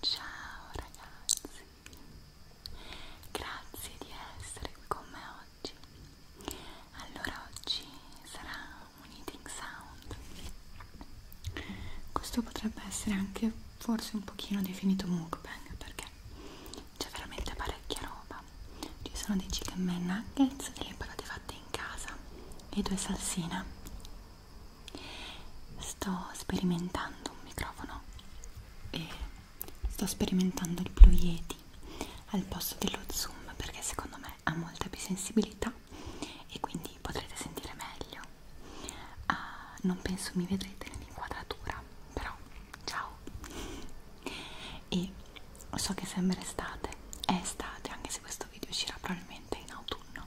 Ciao ragazzi, grazie di essere qui con me oggi. Allora oggi sarà un eating sound. Questo potrebbe essere anche forse un pochino definito mukbang perché c'è veramente parecchia roba. Ci sono dei chicken man nuggets, delle patate fatte in casa e due salsine Sto sperimentando un microfono e sto sperimentando il Blue Yeti al posto dello Zoom perché secondo me ha molta più sensibilità e quindi potrete sentire meglio. Ah, non penso mi vedrete nell'inquadratura, però ciao. E so che sembra estate, è estate anche se questo video uscirà probabilmente in autunno.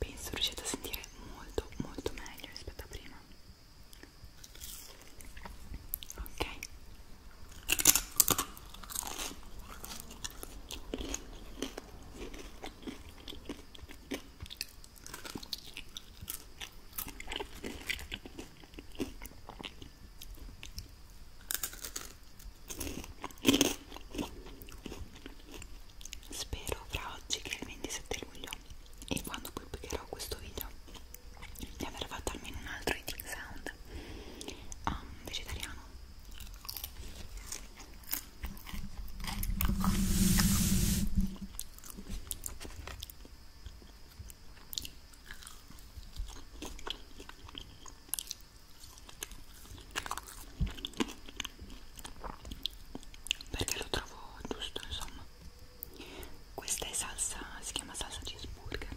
Penso riuscite a sentire molto molto meglio rispetto a prima. Ok. Spero fra oggi che è il 27 luglio e quando pubblicherò questo video di aver fatto almeno un altro eating sound um, vegetariano perché lo trovo giusto insomma questa è salsa si chiama salsa cheeseburger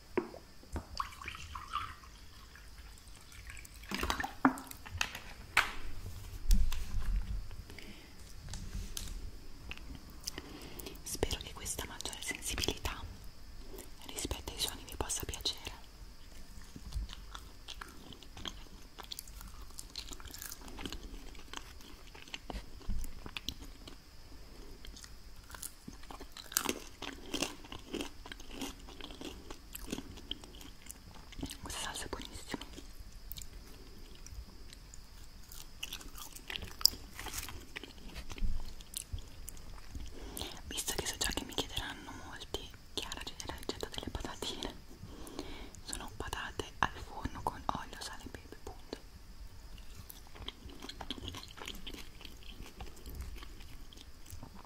Spero che questa maggiore sensibilità rispetto ai suoni vi possa piacere. Questa salsa è buonissima. Visto che so già che mi chiederanno molti, Chiara c'è la ricetta delle patatine. Sono patate al forno con olio, sale e pepe, punto.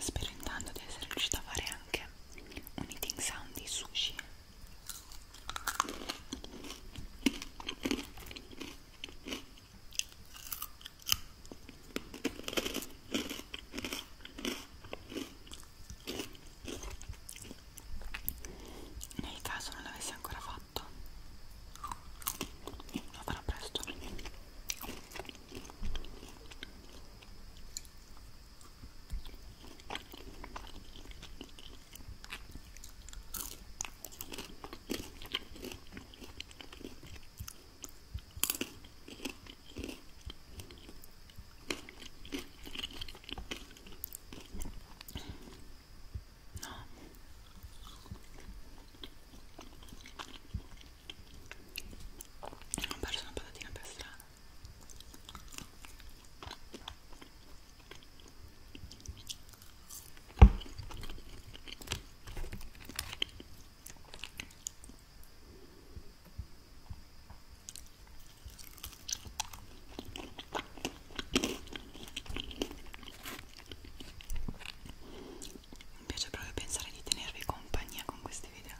Spero intanto di essere riuscita a fare anche un eating sound di sushi nel caso non l'avessi ancora fatto lo farò presto No. Ho perso una patatina per strada. Mi piace proprio pensare di tenervi compagnia con questi video.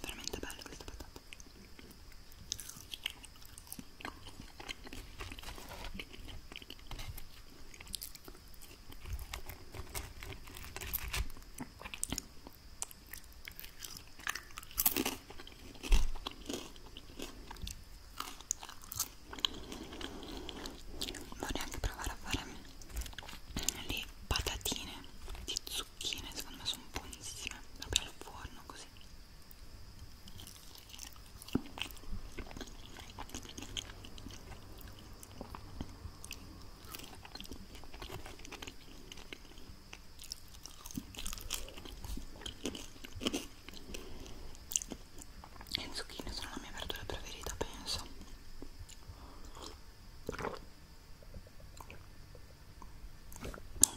Veramente bello questo patato. Vorrei anche provare a fare le patatine di zucchero zucchine secondo me sono buonissime proprio al forno così le zucchine sono la mia verdura preferita penso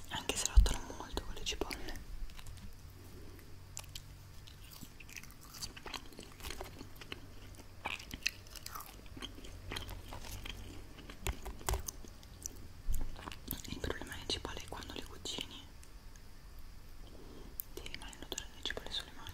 anche se lottano molto con le cipolle il problema delle cipolle è quando le cucini ti rimane l'odore delle cipolle sulle mani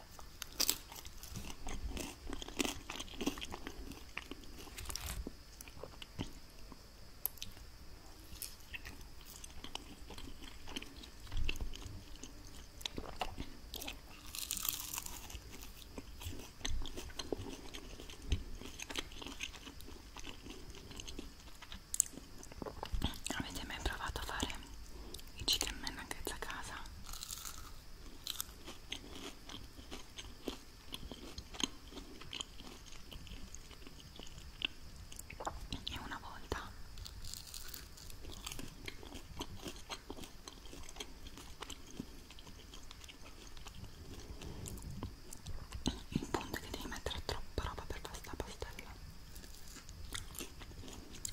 Avete mai provato a fare i chicken nuggets a casa? e una volta il punto è che devi mettere troppa roba per pasta pastella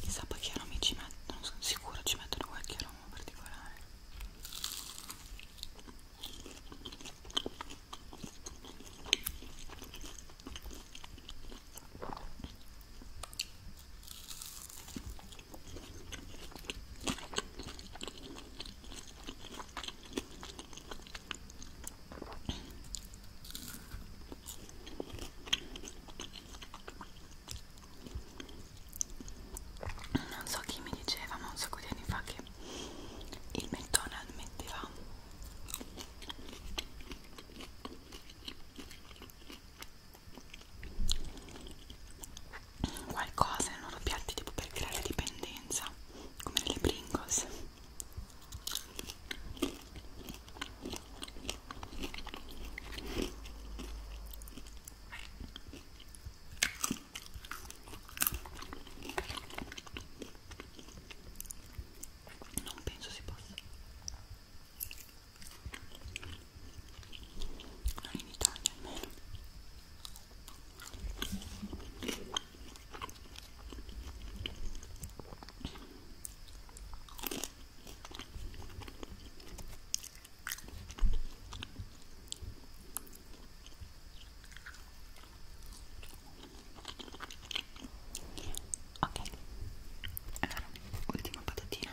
Chissà poi che aromi ci mettono, sono sicuro ci mettono qualche aroma particolare. Non so chi mi diceva, ma un sacco di anni fa che il McDonald's metteva qualcosa nei loro piatti tipo per creare dipendenza come nelle Pringles non penso si possa non in Italia almeno ok allora ultima patatina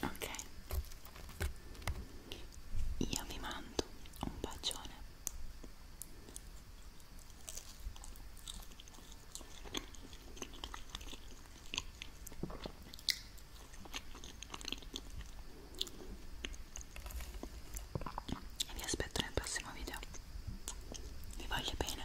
ok io vi mando un bacione e vi aspetto nel prossimo video vi voglio bene